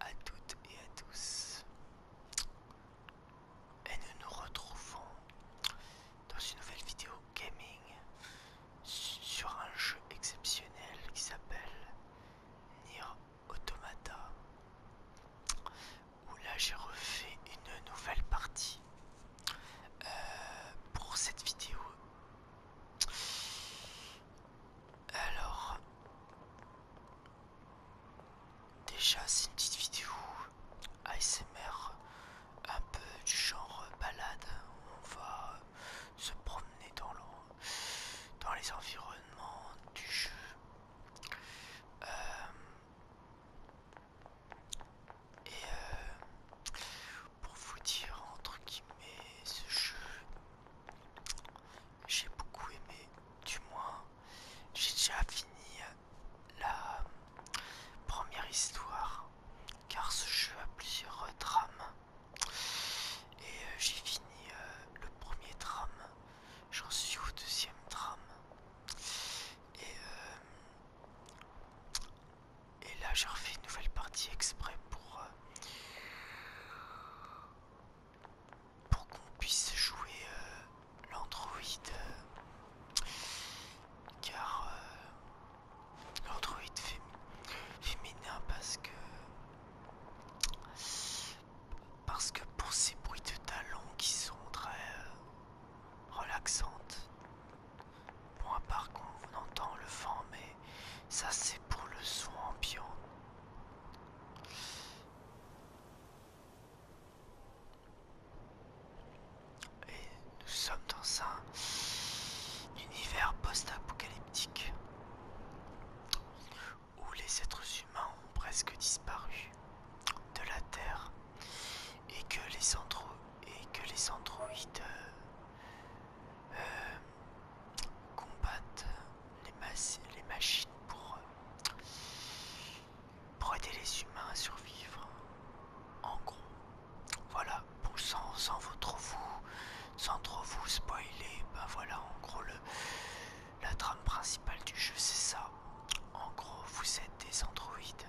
À toutes et à tous, et nous nous retrouvons dans une nouvelle vidéo gaming sur un jeu exceptionnel qui s'appelle Automata où là j'ai refait une nouvelle partie euh, pour cette vidéo. Alors déjà c'est une petite vidéo ASMR un peu du genre balade. où On va se promener dans, dans les environnements du jeu euh, et euh, pour vous dire entre guillemets ce jeu j'ai beaucoup aimé du moins j'ai déjà fini la première histoire car ce jeu a plusieurs trames et euh, j'ai fini le premier drame J'en suis au deuxième drame. Euh, et, là, j'ai refait une nouvelle partie exprès pour, euh, pour qu'on puisse jouer euh, l'androïde. car l'androïde féminin, fait, parce que parce que pour ces bruits de talons qui sont très euh, relaxantes, bon à part qu'on entend le vent, mais ça c'est pour le son ambiant. Et nous sommes dans un univers post-apocalyptique où les êtres humains ont presque disparu de la Terre et que les, androïdes euh, euh, combattent les, machines pour, aider les humains à survivre. En gros, voilà, sans, sans vous vous, sans trop vous spoiler, ben voilà en gros le la trame principale du jeu, c'est ça. En gros, vous êtes des androïdes.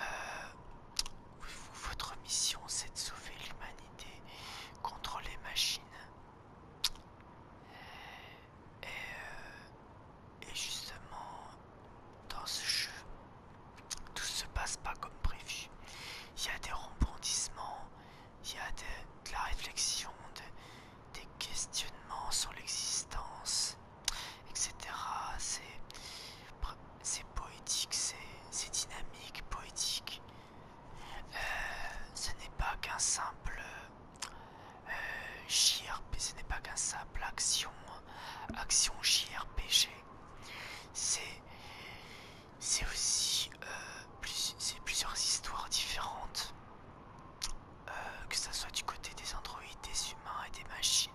Euh, votre mission, c'est de sauver l'humanité contre les machines. Euh, et, justement, dans ce jeu, tout se passe pas comme prévu. Il y a des rebondissements, il y a de, la réflexion, des questionnements sur l'existence, etc. C'est poétique, c'est dynamique, poétique. Euh, ce n'est pas qu'un simple euh, JRPG, ce n'est pas qu'un simple action, action JRPG. C'est aussi euh, plusieurs histoires différentes. Euh, que ça soit du côté des androïdes, des humains et des machines.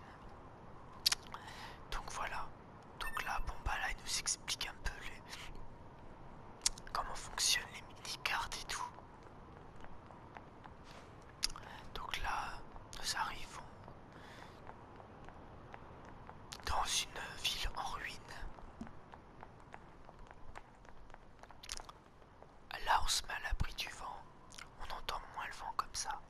Donc voilà. Donc là, bon bah là, il nous explique un peu comment fonctionnent les mini-cartes et tout. Donc là, nous arrivons dans une ville en ruine. Là, on se met à l'abri du vent. On entend moins le vent comme ça.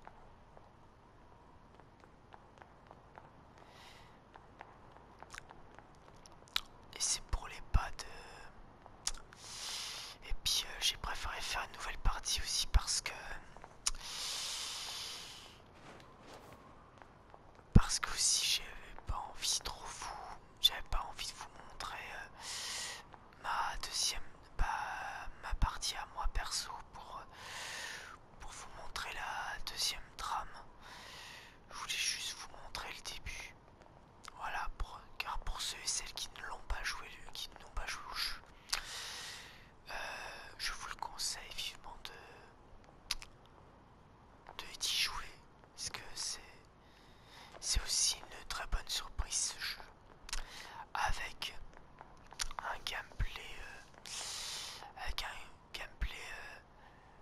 Et c'est pour les pas de... Et puis euh, j'ai préféré faire une nouvelle partie aussi parce que... Parce que aussi j'avais pas envie trop fou j'avais pas envie de vous montrer euh, ma deuxième bah, ma partie à moi perso pour, euh, pour vous montrer la deuxième trame. Je voulais juste vous montrer le début. Voilà, pour, car pour ceux et celles qui ne l'ont pas joué, qui n'ont pas joué au jeu, euh, je vous le conseille vivement de, de y jouer. Parce que c'est c'est aussi une très bonne surprise ce jeu. Avec un gameplay. Euh, avec un gameplay, euh,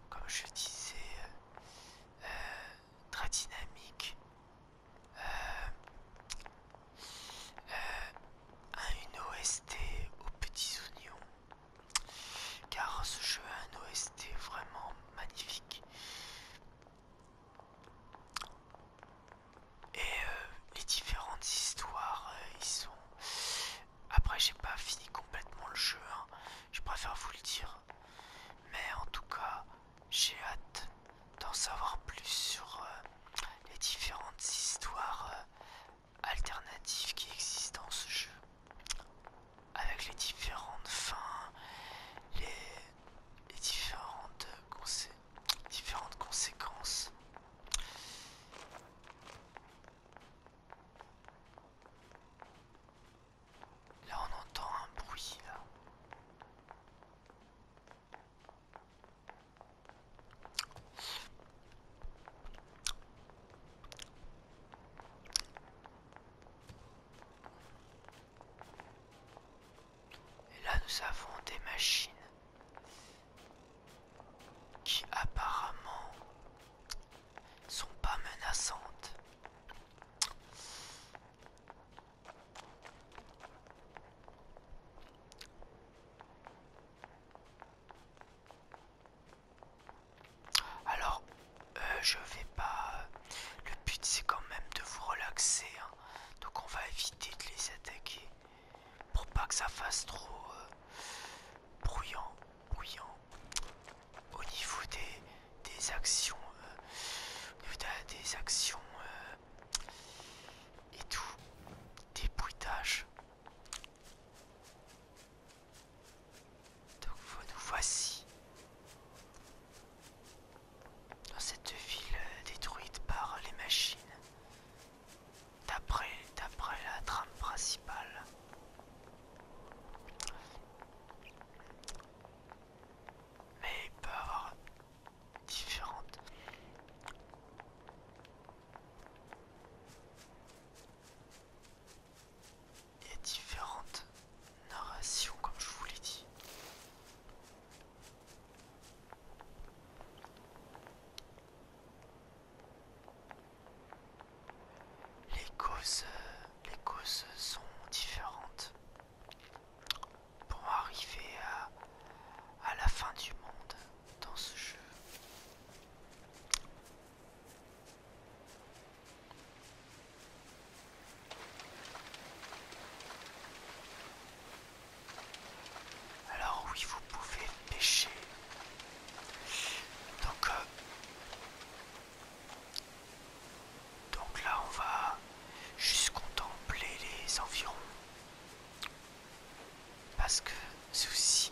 comme je disais, euh, très dynamique. une OST aux petits oignons. Car ce jeu a un OST vraiment magnifique. Et euh, les différentes histoires, euh, ils sont... Après, j'ai pas fini complètement le jeu, hein. je préfère vous le dire. Mais en tout cas, j'ai hâte d'en savoir plus sur euh, les différentes histoires alternatives qui existent dans ce jeu avec les différentes fins, les, différentes, différentes conséquences. Là on entend un bruit là. Et là nous avons des machines qui apparemment sont pas menaçantes. Alors euh, je vais pas. Le but c'est quand même de vous relaxer, hein. donc on va éviter de les attaquer pour pas que ça fasse trop brouillant euh, bruyant, bruyant. Au niveau des, actions, des actions euh, et tout, des bruitages. Donc nous voici dans cette ville euh, détruite par les machines, d'après la trame principale. Mais il peut avoir différentes et différentes narrations comme je vous l'ai dit. Les causes, euh, les causes sont différentes pour arriver à, à la fin du monde dans ce jeu. Alors oui, vous pouvez pêcher. Donc, euh, donc là, on va juste contempler les environs. Parce que c'est aussi,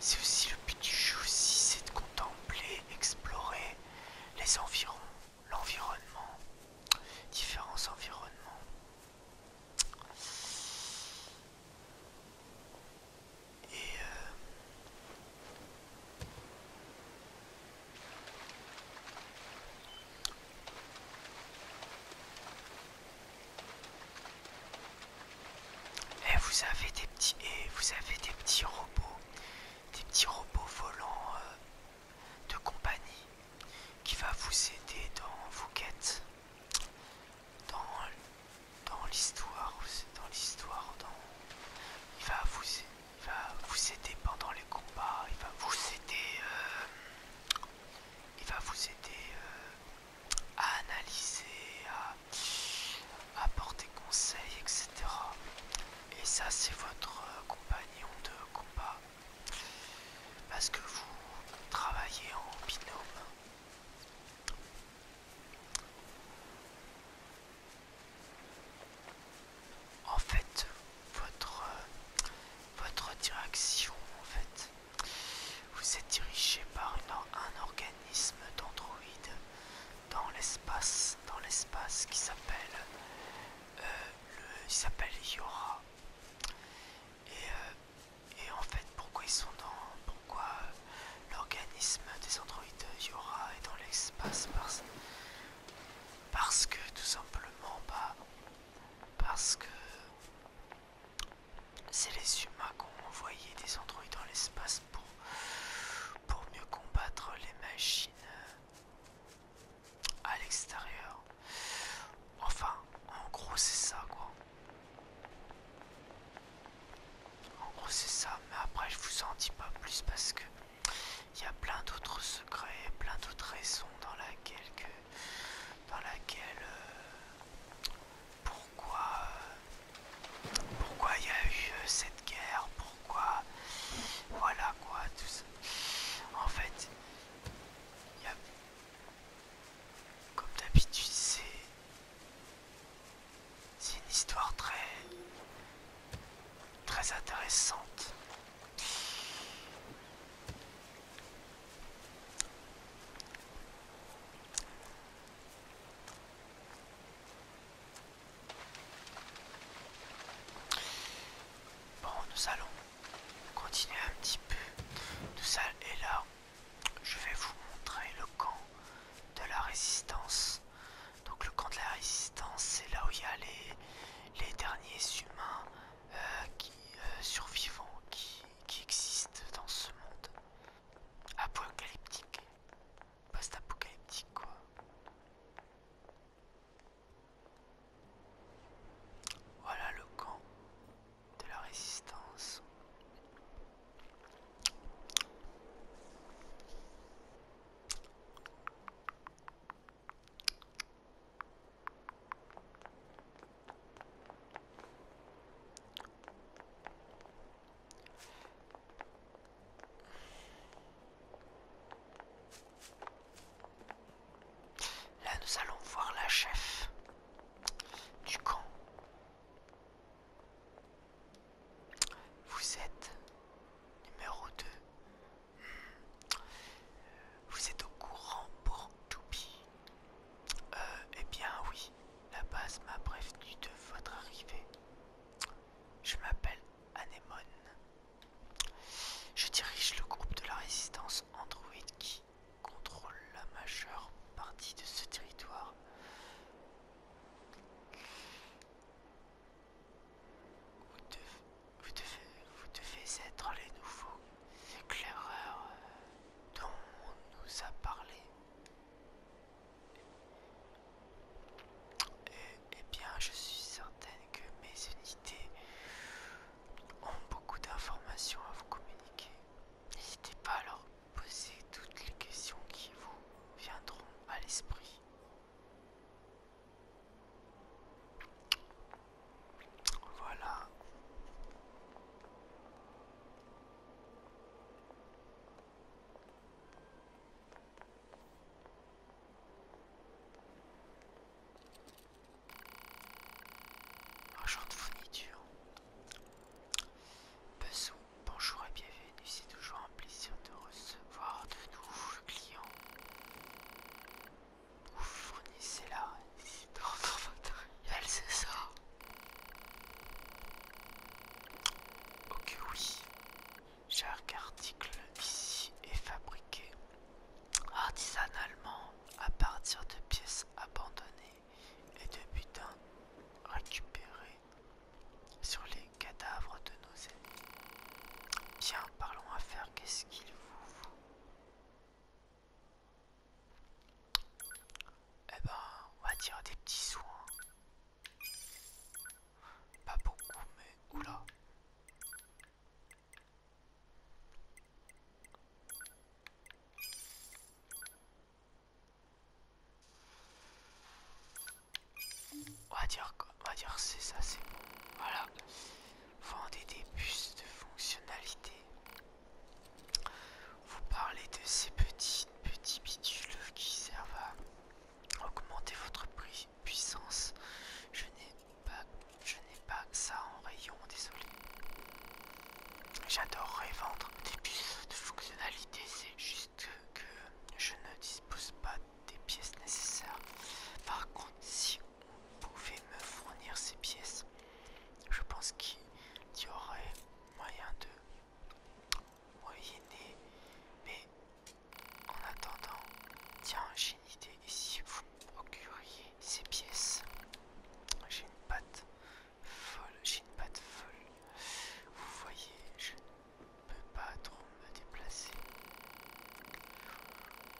c'est aussi le but du jeu c'est de contempler, explorer les environs l'environnement, différents environnements. Et euh, eh, vous avez des petits et eh, vous avez des petits robots, des petits robots volants euh, de compagnie qui va vous aider dans vos quêtes, dans, l'histoire, dans l'histoire, dans, il va vous, aider pendant les combats, il va vous aider, euh, il va vous aider euh, à analyser, à apporter conseil, etc. Et ça c'est votre euh, compagnon de combat. Parce que vous travaillez en binôme. En fait, votre, euh, votre direction, en fait, vous êtes dirigé par un organisme d'androïdes dans l'espace, dans l'espace qui s'appelle euh, le, il s'appelle Yora. Euh, et, en fait, pourquoi ils sont dans. Pourquoi euh, l'organisme des androïdes Yora est dans l'espace parce, parce que tout simplement, bah. Parce que. C'est les humains qui ont envoyé des androïdes dans l'espace pour, pour mieux combattre les machines euh, à l'extérieur. Enfin, en gros c'est ça quoi. En gros c'est ça, mais après je vous en dis pas plus parce que il y a plein d'autres secrets, plein d'autres raisons dans laquelle dans laquelle euh, pourquoi euh, pourquoi il y a eu euh, cette guerre, quoi voilà quoi tout ça en fait comme d'habitude c'est c'est une histoire très très intéressante Bon, nous allons continuer un petit peu. tout ça, et là, je vais vous montrer le camp de la résistance. Donc le camp de la résistance, c'est là où il y a les, derniers humains euh, qui, euh, survivants qui, qui existent dans ce monde apocalyptique. Post-apocalyptique quoi. Voilà le camp de la résistance. Là, nous allons voir la chef du camp. Vous êtes numéro 2. Hmm. Vous êtes au courant pour Toupi euh, eh bien oui, la base m'a prévenu de votre arrivée. Je m'appelle Anémone. Je dirige le groupe de la résistance Android qui contrôle la majeure partie de ce territoire. Vous devez, être les nouveaux éclaireurs dont on nous a parlé. Et, eh, eh bien, je suis certaine que mes unités ont beaucoup d'informations à vous communiquer. N'hésitez pas à leur poser toutes les questions qui vous viendront à l'esprit. Voilà genre de fourniture. bonjour et bienvenue, c'est toujours un plaisir de recevoir de nouveaux clients. Vous fournissez la. dans votre matériel, c'est ça Ok oui, chaque article ici est fabriqué artisanalement à partir de pièces abandonnées et de butins récupérés sur les cadavres de nos ennemis. Bien, parlons à faire, qu'est-ce qu'il vous faut Eh ben, on va dire des petits soins. Pas beaucoup, mais oula. On va dire, on va dire c'est ça, c'est bon. Voilà. Vendez des bus de fonctionnalité. Vous parlez de ces petits petits bitules qui servent à augmenter votre prix puissance. Je n'ai pas, je n'ai pas ça en rayon, désolé. J'adorerais vendre des pièces de fonctionnalité, c'est juste que, je ne dispose pas des pièces nécessaires. Par contre, si on pouvait me fournir ces pièces, je pense qu'il y aurait moyen de moyenner. Mais en attendant, tiens, et si vous procuriez ces pièces, j'ai une patte folle, j'ai une patte folle. Vous voyez, je ne peux pas trop me déplacer.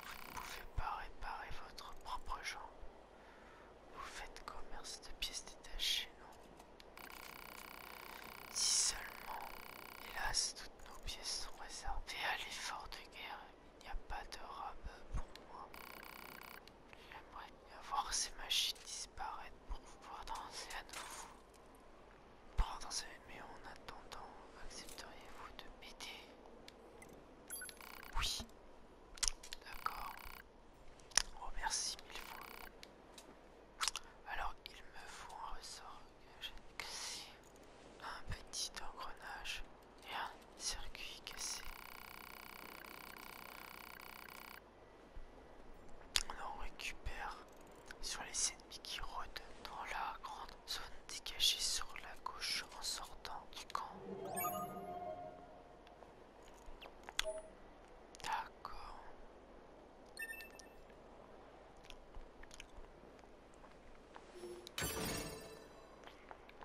Vous ne pouvez pas réparer votre propre genre Vous faites commerce de pièces détachées, non Si seulement, hélas, toutes nos pièces sont réservées à l'effort de guerre il n'y a pas de robe pour moi. J'aimerais voir ces machines disparaître pour pouvoir danser à nouveau. Pour danser, mais en attendant, accepteriez-vous de m'aider Oui. D'accord. Oh merci mille fois. Alors il me faut un ressort que j'aime que si un petit engrenage et un circuit cassé. On récupère sur les ennemis qui rôdent dans la grande zone dégagée sur la gauche en sortant du camp. D'accord.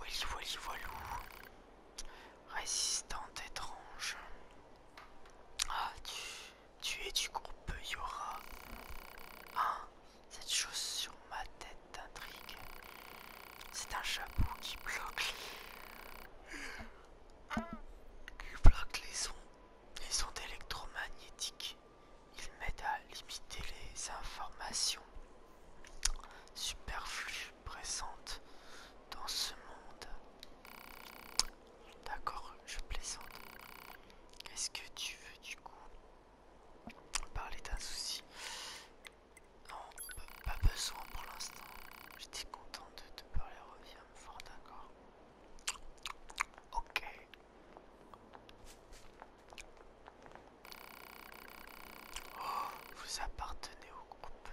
Willy Wally Voilou. Résistante étrange. Ah, tu, es du groupe Yora. Hein Cette chose sur ma tête t'intrigue. C'est un chapeau qui bloque les... qui bloque les ondes. Les ondes électromagnétiques. Il m'aide à limiter les informations superflues présentes dans ce monde. D'accord, je plaisante. est ce que tu veux du coup Parler d'un souci Non, pas besoin pour l'instant. J'étais content de te parler, reviens me fort, d'accord Ok. Oh, vous appartenez au groupe.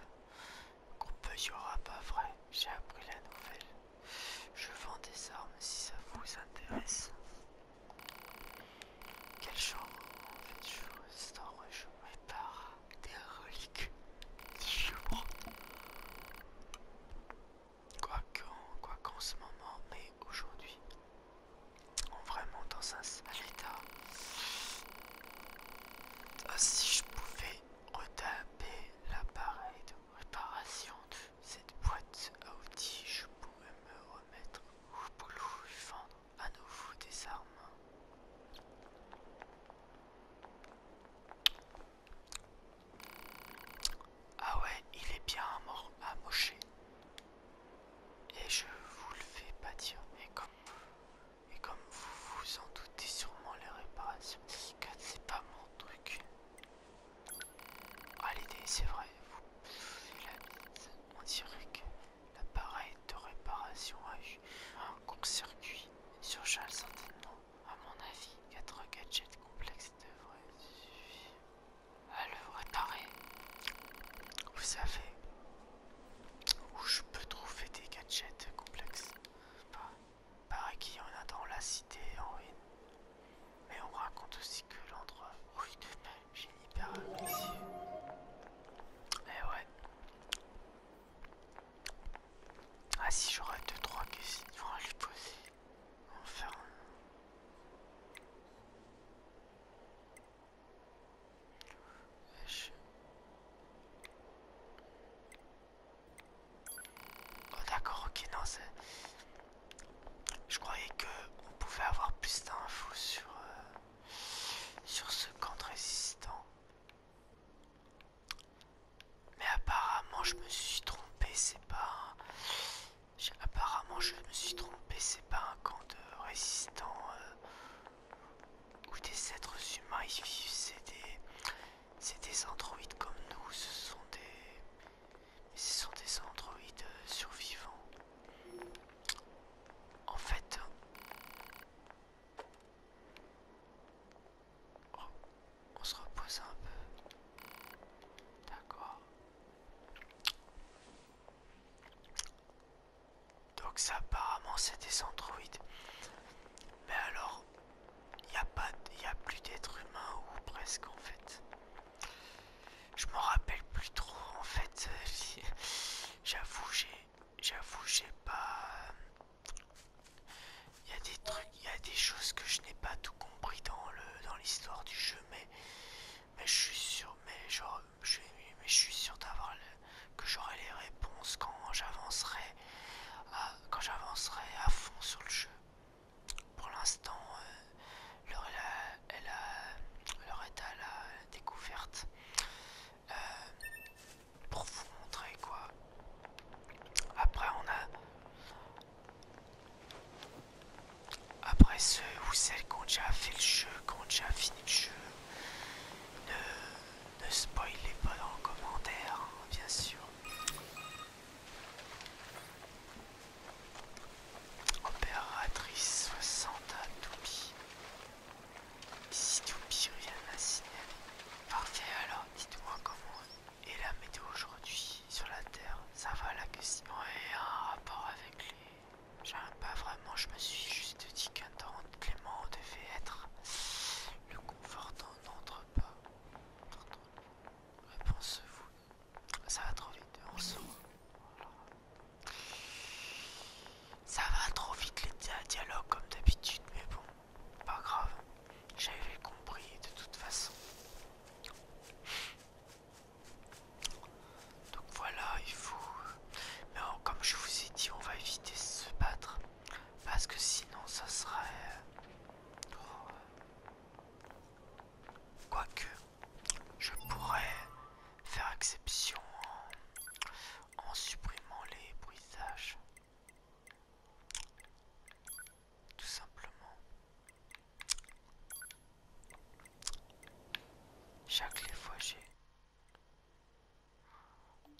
Groupe aura pas vrai. J'ai appris la nouvelle. Je vends des armes si ça vous intéresse. Quel genre de choses je par par des reliques quoi qu'en ce moment mais aujourd'hui est vraiment dans un sale état. Euh, si je pouvais retaper l'appareil de réparation de cette boîte à outils, je pourrais me remettre au boulot et vendre à nouveau des armes. Ah ouais, il est bien mort, amoché. Et je vous le fais pas dire. Et comme, vous vous en doutez sûrement, les réparations 4, c'est pas mon truc. Ah l'idée, c'est vrai. Vous, la On dirait que l'appareil de réparation a eu un court-circuit sur Charles certainement. À mon avis, quatre gadgets complexes devraient suffire à le Vous savez où je peux trouver des gadgets complexes. pareil paraît qu'il y en a dans la cité en ruine. Mais on raconte aussi que l'endroit oui, une une hyper Mais eh ouais. Ah si j'aurais deux trois questions à lui poser. Enfin, Oh, d'accord, ok, non, c'est... Je croyais que on pouvait avoir plus d'infos sur, euh, ce camp résistant. Mais apparemment, je me suis trompé, c'est pas apparemment, je me suis trompé, c'est pas un camp de résistants euh, ou des êtres humains, ils vivent, c'est des, c'est androïdes comme nous, ce sont des, ce sont des androïdes euh, survivants. En fait, euh, on se repose un peu. D'accord. Donc ça apparemment c'est des androïdes. Mais alors, il n'y a, pas, plus d'êtres humains ou presque en fait. Je m'en rappelle plus trop en fait. J'avoue, j'ai... J'avoue, j'ai pas... Il y a des trucs, il y a des choses que je n'ai pas tout compris dans l'histoire dans du jeu, mais mais je suis sûr, mais genre, je mais je suis sûr d'avoir que j'aurai les réponses quand j'avancerai, quand j'avancerai à fond sur le jeu. Pour l'instant, euh, elle l'heure est, à la découverte. Euh, pour vous montrer quoi. Après, on a après ceux ou celles qui ont déjà fait le jeu, qui ont déjà fini le jeu, ne, ne spoilez pas dans le commentaire, hein, bien sûr. Opératrice 60 à Si Toupie revient à signaler. Parfait alors, dites-moi comment est la météo aujourd'hui sur la Terre. Ça va là que Simon un rapport avec les J'aime pas vraiment, je me suis juste dit qu'un temps Clément devait être le confortant n'entre pas. Réponse-vous. Ça va trop vite, on Ça va trop vite les dialogues comme d'habitude, mais bon, pas grave. J'avais compris de toute façon. Donc voilà, il faut... Mais comme je vous ai dit, on va éviter de se battre. Parce que sinon, ça serait... Euh, quoique, je pourrais faire exception en, supprimant les bruitages. Tout simplement. Chaque les fois j'ai.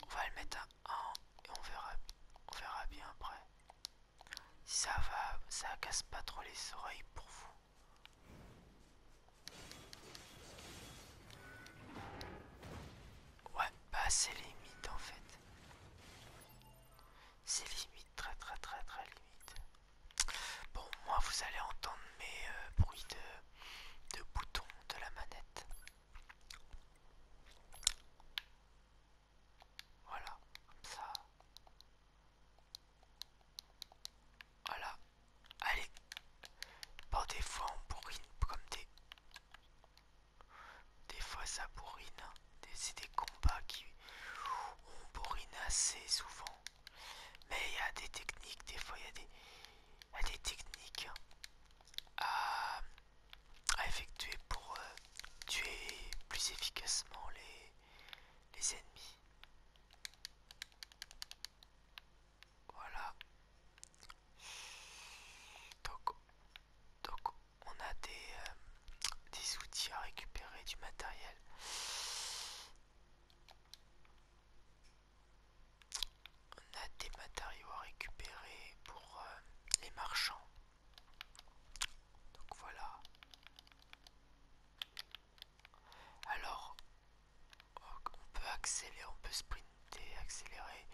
On va le mettre à 1 et on verra, on verra bien après. ça va, ça casse pas trop les oreilles pour vous. Ouais, pas bah, c'est limite en fait. C'est limite, très très très très limite. Bon, moi vous allez entendre mes euh, bruits de, de boutons de la manette. Voilà, comme ça. Voilà. Allez. Bon, des fois on bourrine comme des... Des fois ça bourrine. Hein. C'est des combats qui... On bourrine assez souvent. Mais il y a des techniques, des fois il y, a des techniques hein, à, effectuer pour euh, tuer plus efficacement les, les ennemis. Voilà. Donc, on a des, euh, des outils à récupérer, du matériel. On a des matériaux à récupérer pour euh, les marchands. Donc voilà. Alors, on peut accélérer, on peut sprinter, accélérer.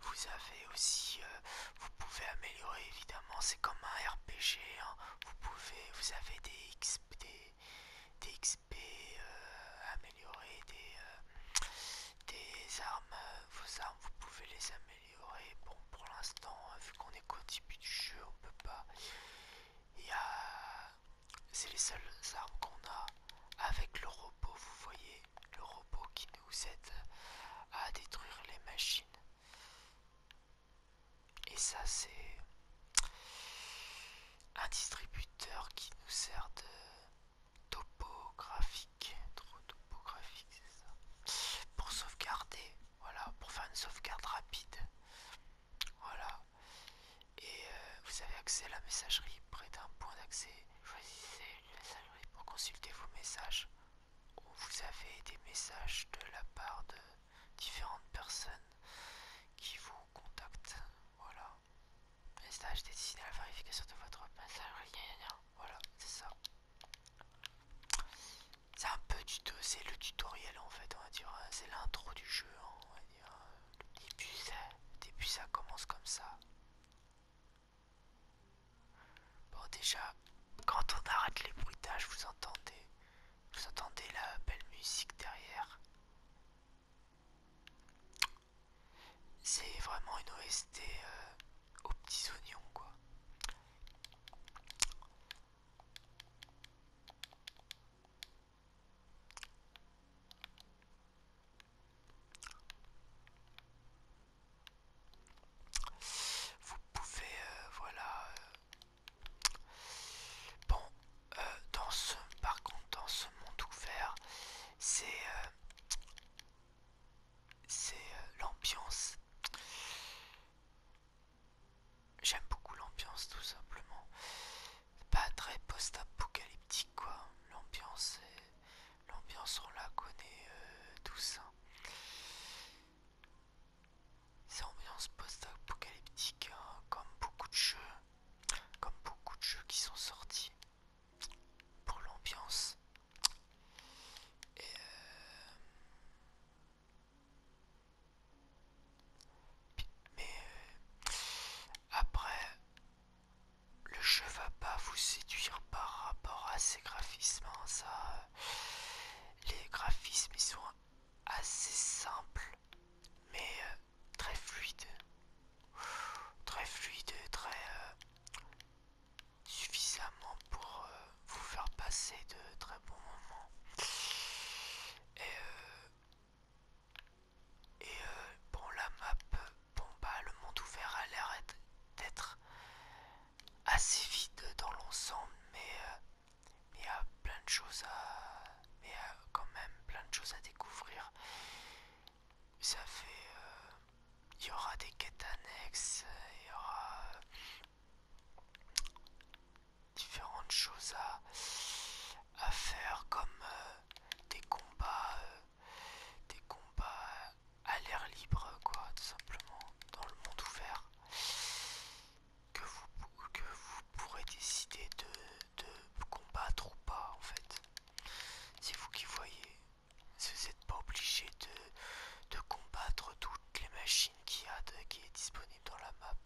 Vous avez aussi, euh, vous pouvez améliorer évidemment, c'est comme un RPG. Hein. Vous pouvez, vous avez des, XP des, XP euh, améliorer des, euh, des armes euh, vos armes vous pouvez les améliorer bon pour l'instant vu qu'on est qu'au début du jeu on peut pas il y c'est les seules armes qu'on a avec le robot vous voyez le robot qui nous aide à détruire les machines et ça, c'est un distributeur qui nous sert de topographique, trop topographique, c'est ça, pour sauvegarder, voilà, pour faire une sauvegarde rapide. Voilà, et euh, vous avez accès à la messagerie près d'un point d'accès. Choisissez la messagerie pour consulter vos messages. Où vous avez des messages de la part de différentes personnes qui vous contactent. Voilà. Message destiné à la vérification de votre message. Voilà, c'est ça. C'est un peu tout, c'est le tutoriel en fait, on va dire. Hein. C'est l'intro du jeu, hein, on va dire. Hein. début, ça, ça commence comme ça. Bon, déjà, quand on arrête les bruitages, vous entendez, vous entendez la belle musique derrière. C'est vraiment une OST euh, aux petits oignons quoi. Vous pouvez euh, voilà euh, Bon, euh, dans ce, par contre, dans ce monde ouvert, c'est euh, c'est euh, l'ambiance. J'aime beaucoup l'ambiance, tout simplement. Pas très post-apocalyptique, quoi. L'ambiance, l'ambiance, on la connaît tous. Hein. C'est ambiance post-apocalyptique, hein, comme beaucoup de jeux, comme beaucoup de jeux qui sont sortis pour l'ambiance. Euh, mais euh, après, le jeu va pas vous séduire par rapport à ses graphismes. Hein, ça, euh, les graphismes ils sont assez simples, mais très fluide, très fluide très euh, suffisamment pour euh, vous faire passer de très bons moments. Et, euh, bon, la map, bon bah, le monde ouvert a l'air d'être assez vide dans l'ensemble, mais il y a plein de choses à quand même plein de choses à découvrir ça fait euh, il y aura des quêtes annexes il y aura différentes choses à, à faire comme euh, des combats euh, des combats à l'air libre quoi tout simplement dans le monde ouvert que vous, que vous pourrez décider de, combattre ou pas en fait. C'est vous qui voyez. Vous n'êtes pas obligé de, combattre toutes les machines qui, a, qui est disponible dans la map.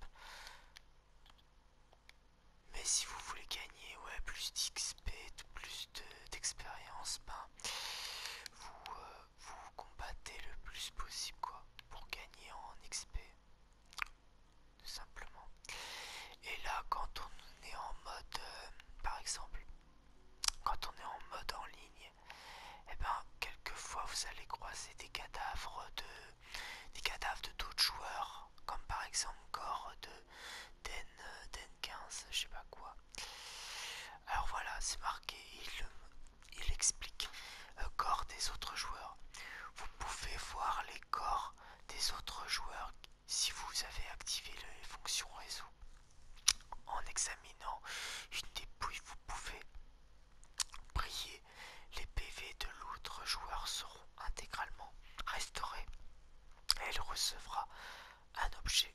Mais si vous voulez gagner ouais, plus d'XP, plus d'expérience, ben, vous, euh, vous combattez le plus possible quoi pour gagner en XP tout simplement. Et là, quand on est en mode, euh, par exemple, quand on est en mode en ligne, et eh bien ben quelquefois vous allez croiser des cadavres de, des cadavres de d'autres joueurs, comme par exemple corps de Den, 15, euh, je sais pas quoi. Alors voilà, c'est marqué, il, explique corps euh, des autres joueurs. Vous pouvez voir les corps des autres joueurs si vous avez activé les fonctions réseau. En examinant une dépouille, vous pouvez prier. Les PV de l'autre joueur seront intégralement restaurés. Elle recevra un objet.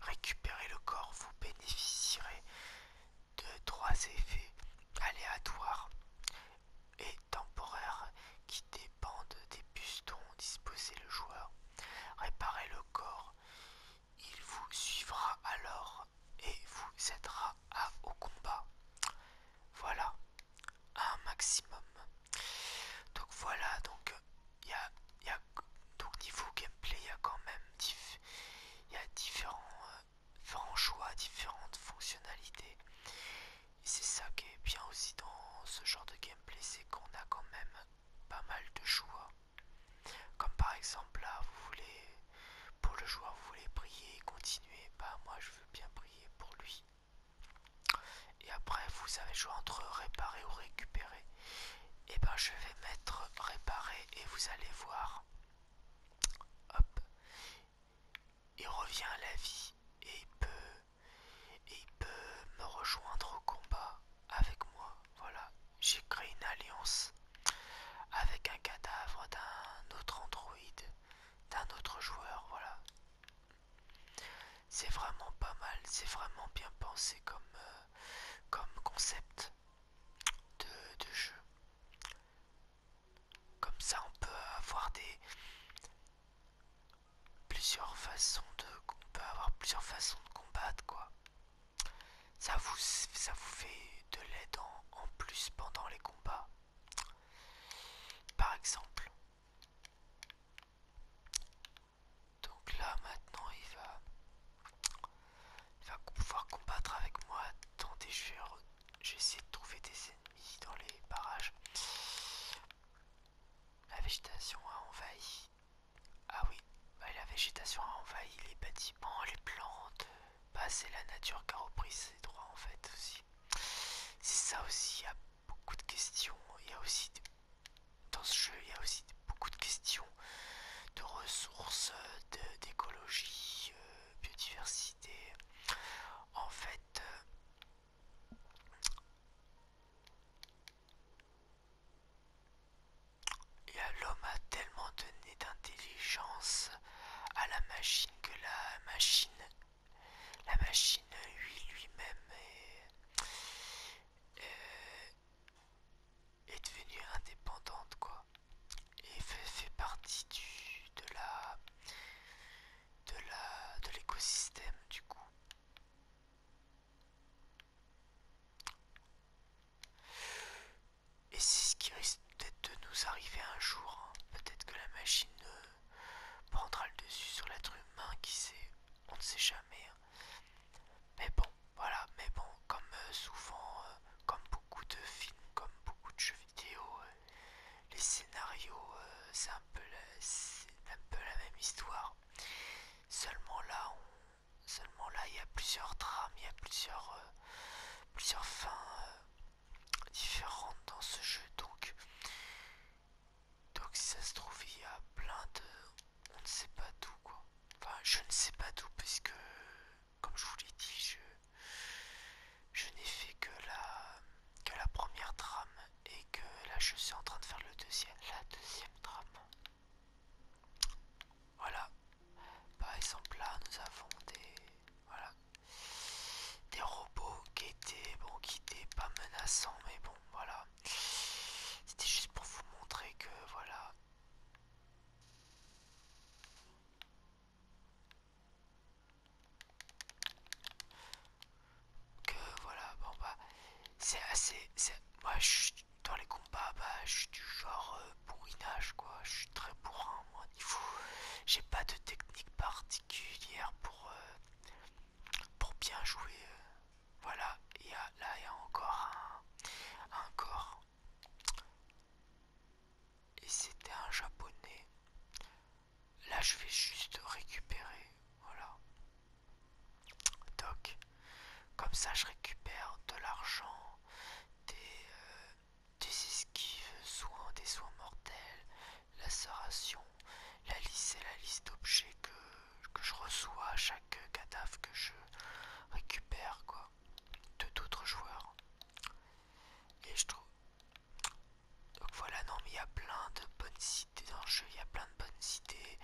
Récupérez le corps, vous bénéficierez de trois effets aléatoires et temporaire qui dépendent des pistons disposer le joueur. réparer le corps. Il vous suivra alors et vous aidera au combat. Voilà, un maximum. Donc voilà, donc il y a donc niveau gameplay, il y a quand même il y a différents euh, différents choix, différentes fonctionnalités. c'est ça qui est bien aussi dans ce genre de gameplay, c'est qu'on a quand même pas mal de choix. Comme par exemple là, vous voulez, pour le joueur, vous voulez prier et continuer. Bah moi je veux bien prier pour lui. Et après vous avez le choix entre réparer ou récupérer. Et eh ben je vais mettre réparer et vous allez voir. Hop il revient à la vie et il peut, et peut me rejoindre au combat avec moi. Voilà, j'ai créé une alliance avec un cadavre d'un autre androïde, d'un autre joueur. Voilà, c'est vraiment pas mal, c'est vraiment bien pensé comme, euh, comme concept de jeu. Comme ça, on peut avoir des plusieurs façons de, on peut avoir plusieurs façons de combattre, quoi. Ça vous, ça vous fait de l'aide en, plus pendant les combats. Par exemple. Donc là, maintenant, il va, il va pouvoir combattre avec moi. dans des vais j'essaie de trouver des ennemis dans les barrages. La végétation a envahi. Ah oui, bah, la végétation a envahi les bâtiments, les plantes. pas bah, c'est la nature qui a repris ses droits en fait aussi. C'est ça aussi, il y a beaucoup de questions. Il y a aussi dans ce jeu, il y a aussi beaucoup de questions de ressources, d'écologie, de... Euh, biodiversité. En fait, euh, l'homme a tellement donné d'intelligence à la machine que la machine, la machine lui lui-même euh, est, devenue indépendante quoi, et fait, fait partie de la de l'écosystème du coup. Et c'est ce qui risque peut-être de nous arriver un jour. Hein. Peut-être que la machine euh, prendra le dessus sur l'être humain, qui sait, on ne sait jamais. Hein. Mais bon, voilà, mais bon, comme euh, souvent, euh, comme beaucoup de films, comme beaucoup de jeux vidéo, les scénarios, euh, c'est un, peu la même histoire. Seulement là, il y a plusieurs trames, il y a plusieurs, euh, fins euh, différentes dans ce jeu. Donc, donc si ça se trouve, il y a plein de, on ne sait pas tout quoi. Enfin, je ne sais pas tout puisque, comme je vous l'ai dit, je, je n'ai fait que la que la première trame et que là je suis en train de faire le deuxième, la deuxième trame. Voilà. Par exemple là nous avons des voilà des robots qui étaient bon qui étaient pas menaçants mais bon voilà. C'était juste pour vous montrer que voilà que voilà bon bah c'est assez moi je suis dans les combats bah je suis du genre euh, bourrinage quoi je suis très bourrin moi niveau j'ai pas de technique particulière pour euh, pour bien jouer euh, voilà et ah, là il y a encore un corps et c'était un japonais Là, je vais juste récupérer. Voilà. Toc. Comme ça, je récupère de l'argent, des, euh, esquives, soins, des soins mortels, la serration, La liste, et la liste d'objets que, que je reçois à chaque cadavre que je récupère, quoi, de d'autres joueurs. Et je trouve. Donc voilà, non mais il y a plein de bonnes cités dans le jeu, il y a plein de bonnes cités.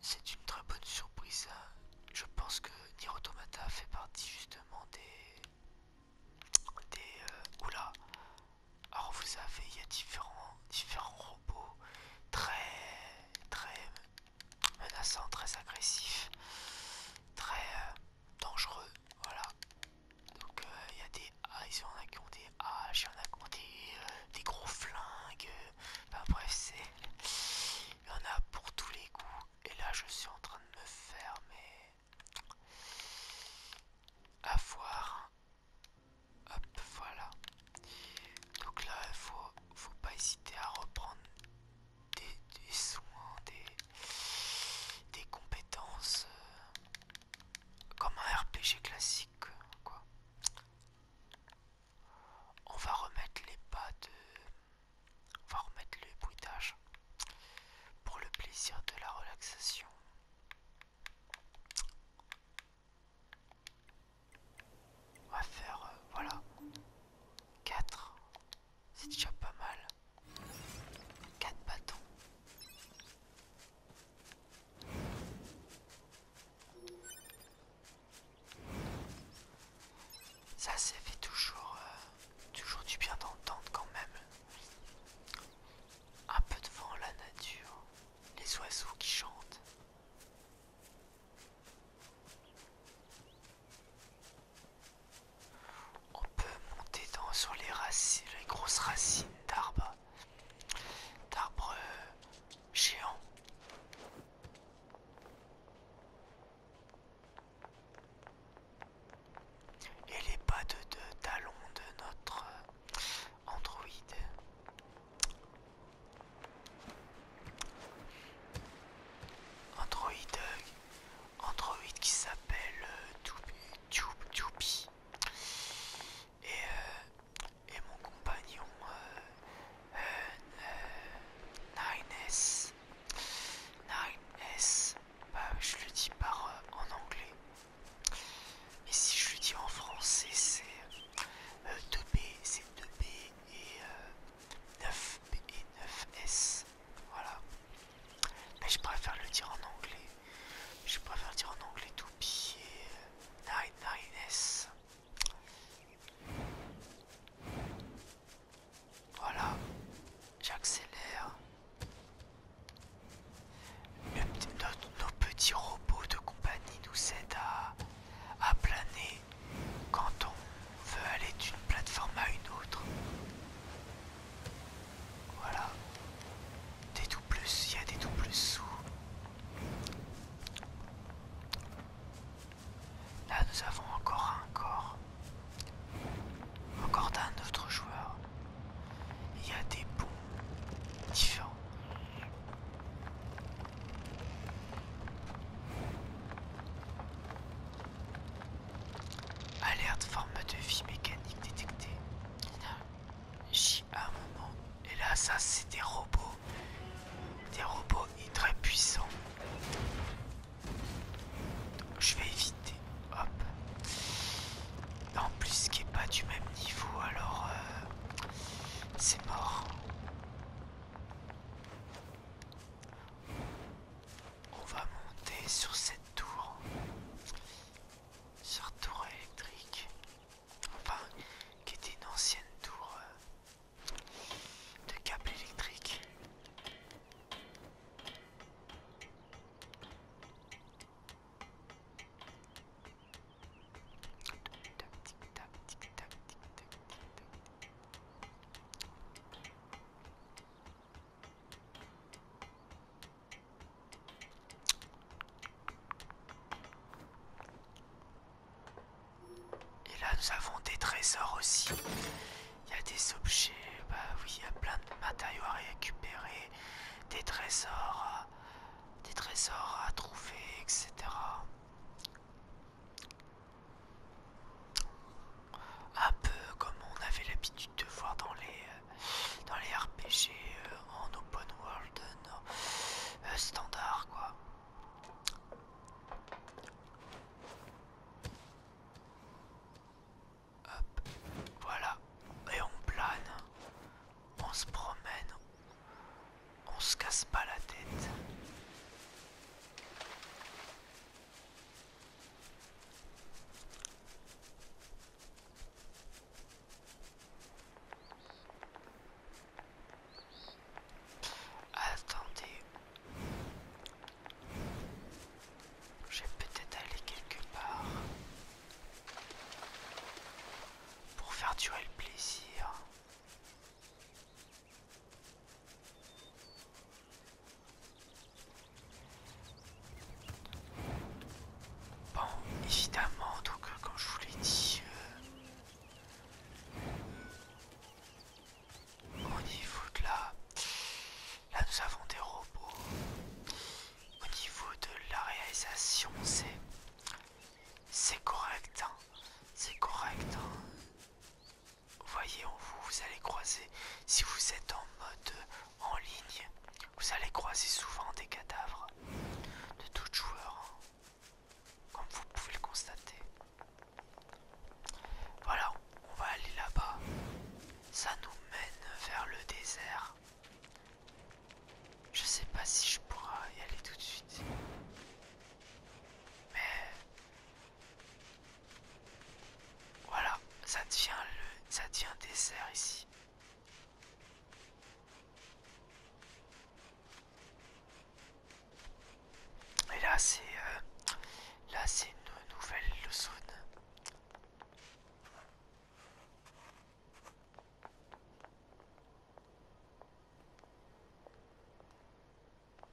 C'est une très bonne surprise. Hein. Je pense que Nier fait partie justement des... des euh, oula Alors vous savez, il y a différents, différents robots très, très menaçants, très agressifs, très euh, dangereux. Voilà, donc il euh, y a des A, il y en a qui ont des H, il y en a qui ont des, euh, gros flingues. Euh, enfin bref, c'est. Il y en a pour tous les goûts. Et là je suis en train de me faire mais. à voir. Hop, voilà. Donc là, il faut, faut pas hésiter à reprendre des, soins, des, compétences euh, comme un RPG classique euh, quoi. On va remettre les pas de. On va remettre le bruitage pour le plaisir de la relaxation. On va faire, euh, voilà, 4, c'est déjà pas mal. 4 bâtons. Ça, s'est fait toujours, euh, toujours du bien d'entendre quand même. Un peu de vent, la nature, les oiseaux qui chantent. On peut monter dans, sur les racines, les grosses racines d'arbres, d'arbres euh, géants. Et les pas de, talons de notre euh, androïde. Androïde. Euh, Android qui s'appelle Doopy. Euh, et, euh, et mon compagnon euh, 9S. Euh, 9S. Bah, je le dis par en anglais. Mais si je le dis en français, c'est 2 c'est 2B et 9B et 9S. Voilà. Mais je préfère le dire en anglais. Je préfère dire en anglais tout pied. Voilà. J'accélère. Nos, petits robots de compagnie nous aident à planer quand on veut aller d'une plateforme à une autre. Voilà. Des doubles, il y a des doubles sous. Là nous avons encore un corps. Encore d'un autre joueur. Il y a des bouts différents. Alerte forme de vie mécanique détectée. J'y un moment. Et là, ça, c'est des robots. Des robots et très puissants. je vais éviter. Hop. En plus, qui est pas du même niveau, alors euh, c'est mort. On va monter sur cette tour sur tour électrique, enfin qui était une ancienne tour euh, de câble électrique. Et là nous avons des trésors aussi. Il y a des objets, bah oui, il y a plein de matériaux à récupérer, des trésors, des trésors à trouver, etc. Un peu comme on avait l'habitude de voir dans les, euh, dans les RPG euh, en open world euh, standard quoi. voilà, et on plane, on se promène, on se casse pas la tête. Attendez. J'ai peut-être allé quelque part pour faire durer le plaisir. Bon, évidemment, donc euh, comme je vous l'ai dit, euh, au niveau de là, là nous avons des robots. Au niveau de la réalisation, c'est c'est correct, hein. c'est correct. Vous hein. voyez, vous, vous allez croiser si vous êtes en mode en ligne, vous allez croiser souvent des cadavres de tout joueur, hein, comme vous pouvez le constater. Voilà, on va aller là-bas. Ça nous mène vers le désert. Je sais pas si je pourrai y aller tout de suite. Mais voilà, ça devient le ça devient désert ici. Et là c'est euh, là c'est une nouvelle leçon.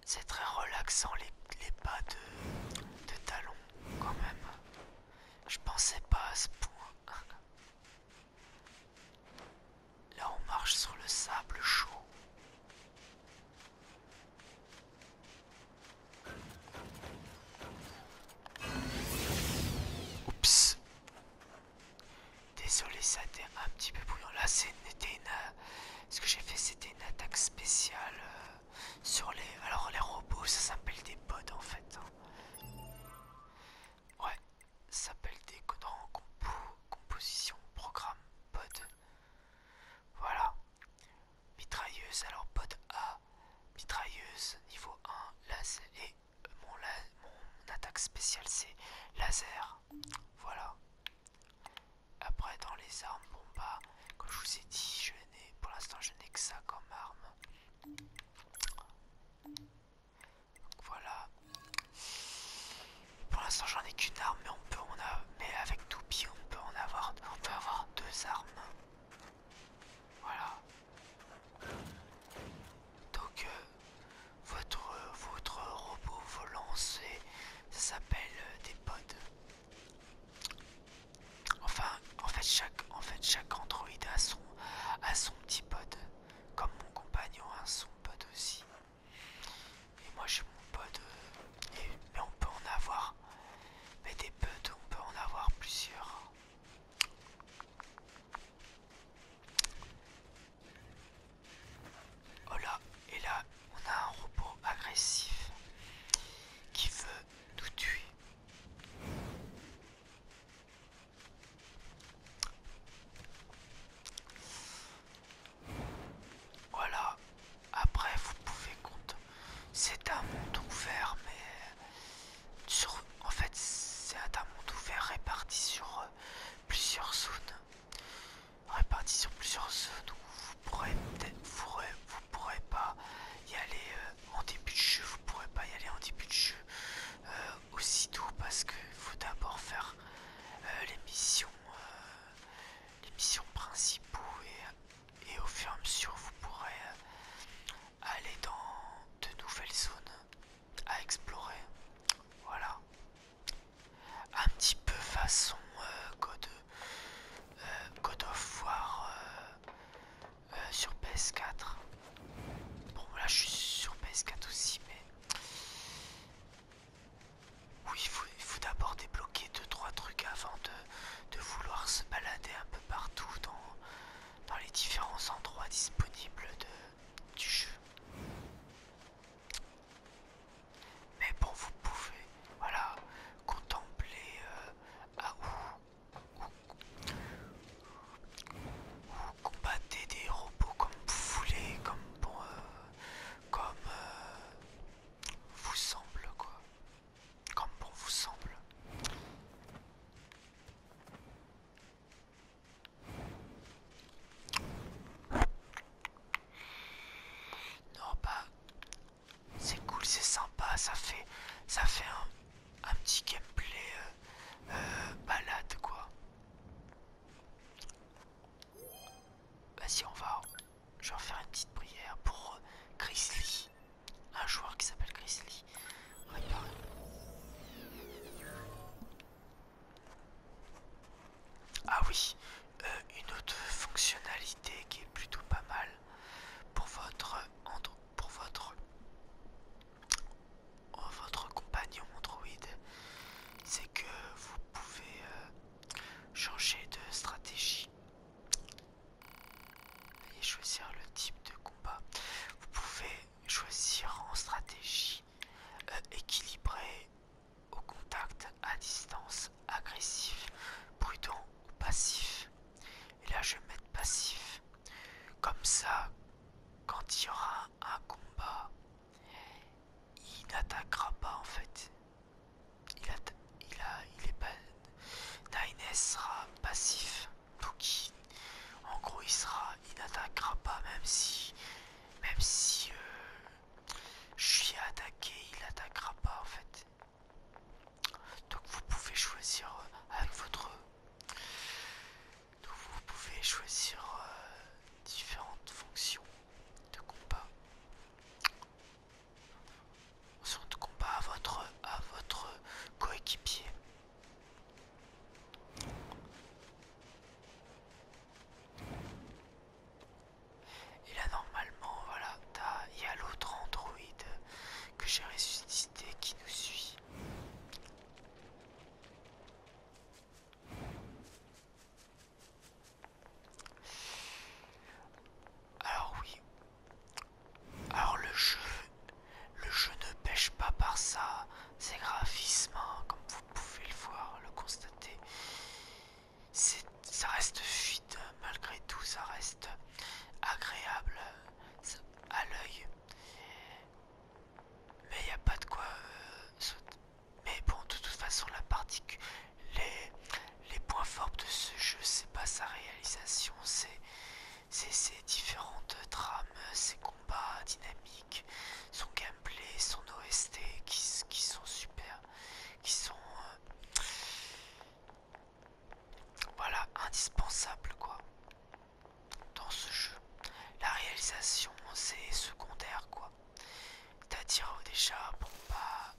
C'est très relaxant les, pas de talons quand même. Je pensais pas à ce point. Là on marche sur le sable chaud. Oups. Désolé, ça a été un petit peu bruyant. Là c'était une... Euh, ce que j'ai fait c'était une attaque spéciale euh, sur les... Alors les robots ça s'appelle des pods en fait. Hein. Ouais, s'appelle Décodant Composition Programme Pod. Voilà. Mitrailleuse, alors pod A. Mitrailleuse niveau 1, laser. Et mon, attaque spéciale c'est laser. Voilà. Après dans les armes, bon bah, comme je vous ai dit, je pour l'instant je n'ai que ça comme arme voilà. Pour l'instant j'en ai qu'une arme mais on peut on a mais avec Toupie on peut en avoir on peut avoir deux armes. Voilà. Donc euh, votre votre robot volant ça s'appelle euh, des pods. Enfin, en fait, chaque, en fait, chaque android a son, son petit pod. Comme mon compagnon a son pod aussi. Et moi, j'ai mon pod. Euh, mais on peut en avoir. Mais des pods, on peut en avoir plusieurs. Oh là, et là, on a un robot agressif qui veut nous tuer. Voilà, après vous pouvez compter. C'est un monde ouvert, mais en fait c'est un monde ouvert réparti sur euh, plusieurs zones. Réparti sur plusieurs zones où vous pourrez, vous pourrez, vous pourrez pas y aller euh, en début de jeu, vous pourrez pas y aller en début de jeu euh, aussitôt parce que faut d'abord faire euh, les missions, euh, les missions principaux et, au fur et à mesure vous pourrez aller dans de nouvelles zones à explorer. Voilà, un petit peu façon God, of War. Euh, sur PS4. Bon là je suis sur PS4 aussi mais... Oui il faut, d'abord débloquer 2-3 trucs avant de, de vouloir se balader un peu partout dans, dans les différents endroits disponibles de, du jeu. Mais bon vous pouvez voilà contempler euh, à où ou combattre des robots comme vous voulez, comme pour euh, comme euh, vous semble quoi, comme pour vous semble. Non pas bah, c'est cool, c'est sympa, ça fait, ça fait un un petit gameplay euh, euh, balade quoi. Vas-y on va, je vais faire une petite prière pour Grizzly, euh, un joueur qui s'appelle Grizzly. Ah oui, une autre fonctionnalité qui est plutôt pas mal pour votre Android pour votre, votre compagnon Android, c'est que vous pouvez euh, changer de stratégie et choisir le type de combat. Vous pouvez choisir en stratégie euh, équilibrée au contact, à distance, agressif, prudent ou passif. Et là, je vais mettre passif. Comme ça, quand il y aura un combat, il n'attaquera pas en fait. Il, n'attaquera il, a, il est pas. Naines sera passif. Donc, en gros, il sera, il n'attaquera pas même si, même si euh, je suis attaqué, il n'attaquera pas en fait. Donc, vous pouvez choisir euh, avec votre vous pouvez choisir euh, différentes fonctions de combat. de combat à votre, à votre coéquipier. Et là normalement voilà, il y a l'autre android que j'ai ressuscité qui nous suit. Alors oui. Alors le jeu, le jeu ne pêche pas par ça, C'est graphismes, hein, comme vous pouvez le voir, le constater. Ça reste fluide, malgré tout, ça reste agréable euh, à l'œil. Mais il n'y a pas de quoi euh, Mais bon, de toute façon, la particule. Les, les points forts de ce jeu, c'est pas sa réalisation, c'est ses différentes trames, ses combats dynamiques, son gameplay, son OST qui, sont super, qui sont euh, voilà indispensables quoi dans ce jeu. La réalisation, c'est secondaire, quoi. C'est-à-dire, euh, déjà, bon, bah.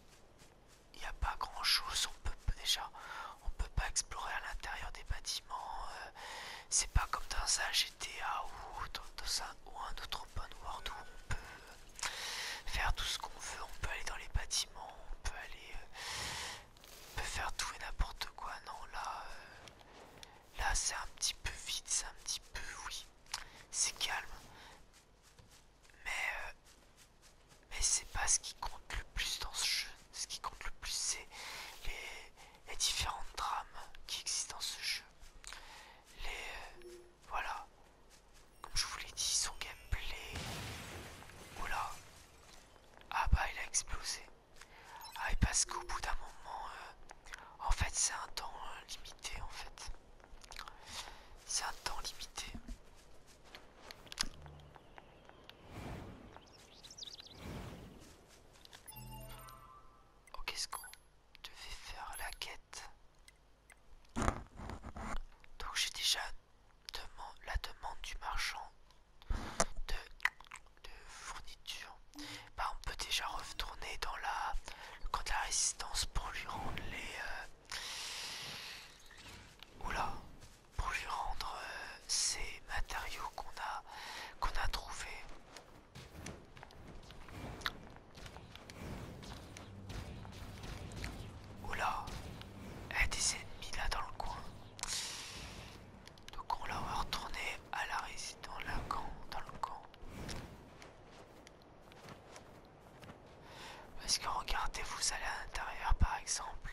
Il n'y a pas grand-chose, on peut déjà, on peut pas explorer à l'intérieur des bâtiments. Euh, c'est pas comme dans un GTA ou dans, un, ou un autre open world où on peut euh, faire tout ce qu'on veut. On peut aller dans les bâtiments, on peut aller peut faire tout et n'importe quoi. Non, là, euh, là c'est un petit peu vide, c'est un petit peu, oui, c'est calme. Mais, euh, mais c'est pas ce qui compte le plus dans ce jeu. Ce qui compte le plus, c'est les, différentes drames qui existent dans ce jeu. Les, euh, voilà. Comme je vous l'ai dit, son gameplay. Oula. Ah bah il a explosé. Ah, et parce qu'au bout d'un moment, euh, en fait, c'est un temps euh, limité, en fait. C'est un temps limité. Oh, qu'est-ce qu'on devait faire la quête Donc j'ai déjà la demande du marchand de, fourniture, bah, on peut déjà retourner dans la, le de la résistance pour lui rendre les... Euh, pour rendre euh, ces matériaux qu'on a, qu'on a trouvés. Oula, il y a des ennemis là dans le coin. Donc on la va retourner à la résidence dans, dans le camp. Parce que regardez, vous allez à l'intérieur par exemple,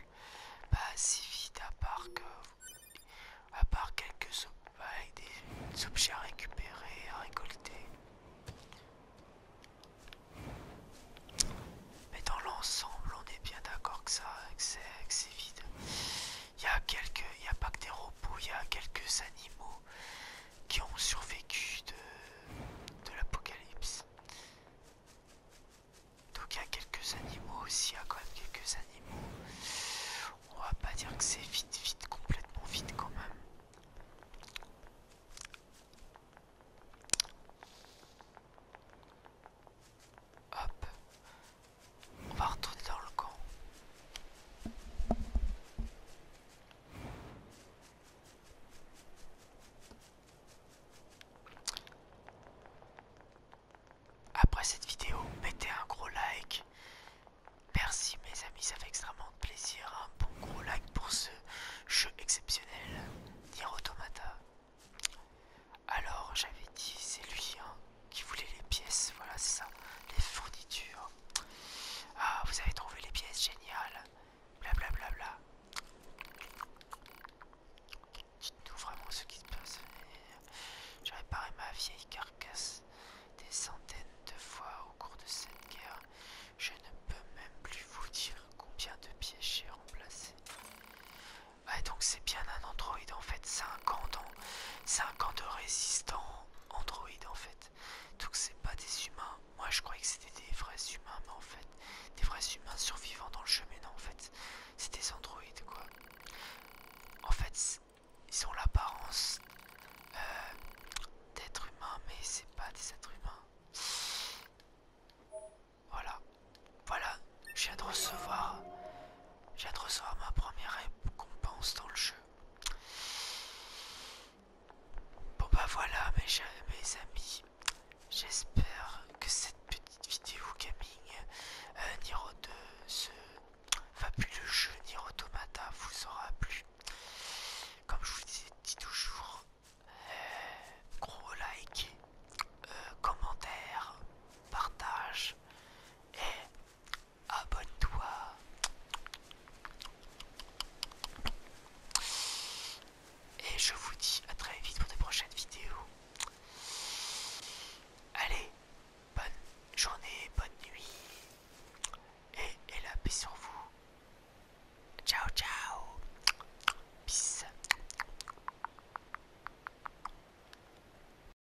pas assez si à part que à part quelques des objets à récupérer, à récolter. Mais dans l'ensemble, on est bien d'accord que ça, que c'est vide. Il y a quelques, a pas que des robots, il y a quelques animaux qui ont survécu de, l'apocalypse. Donc il y a quelques animaux aussi, il y a quand même quelques animaux. On va pas dire que c'est vite, vite, complètement vite quand même. Hop. On va retourner dans le camp. Après cette vidéo, mettez un gros like. Merci mes amis, ça fait extrêmement plaisir. Un hein. bon gros like pour ce jeu exceptionnel, Nier Automata. Alors j'avais dit c'est lui hein, qui voulait les pièces, voilà c'est ça, les fournitures. Ah vous avez trouvé les pièces, géniales, blablabla. Bla, bla, bla. Dites-nous vraiment ce qui se passe. J'ai réparé ma vieille carcasse des centaines de fois au cours de cette guerre. Je ne peux même plus vous dire combien de pièces j'ai remplacées, Ouais, donc c'est bien un androïde en fait, c'est un camp de résistants androïde en fait. Donc c'est pas des humains. Moi je croyais que c'était des vrais humains, mais en fait, des vrais humains survivants dans le chemin non en fait, c'est des androïdes quoi. En fait, ils ont l'apparence d'être euh, d'êtres humains, mais c'est pas des êtres humains. Voilà, voilà, je viens de recevoir j'ai de ma première récompense dans le jeu. Bon bah voilà mes, mes amis. J'espère que cette petite vidéo gaming euh, Niro de ce fabuleux jeu Niro Tomata vous aura plu. Comme je vous dis toujours, euh, gros like, euh, commentaire, partage et abonne-toi. Et je vous dis à très vite pour de prochaines vidéos. Allez, bonne journée, bonne nuit. Et, la paix sur vous. Ciao, ciao. Peace.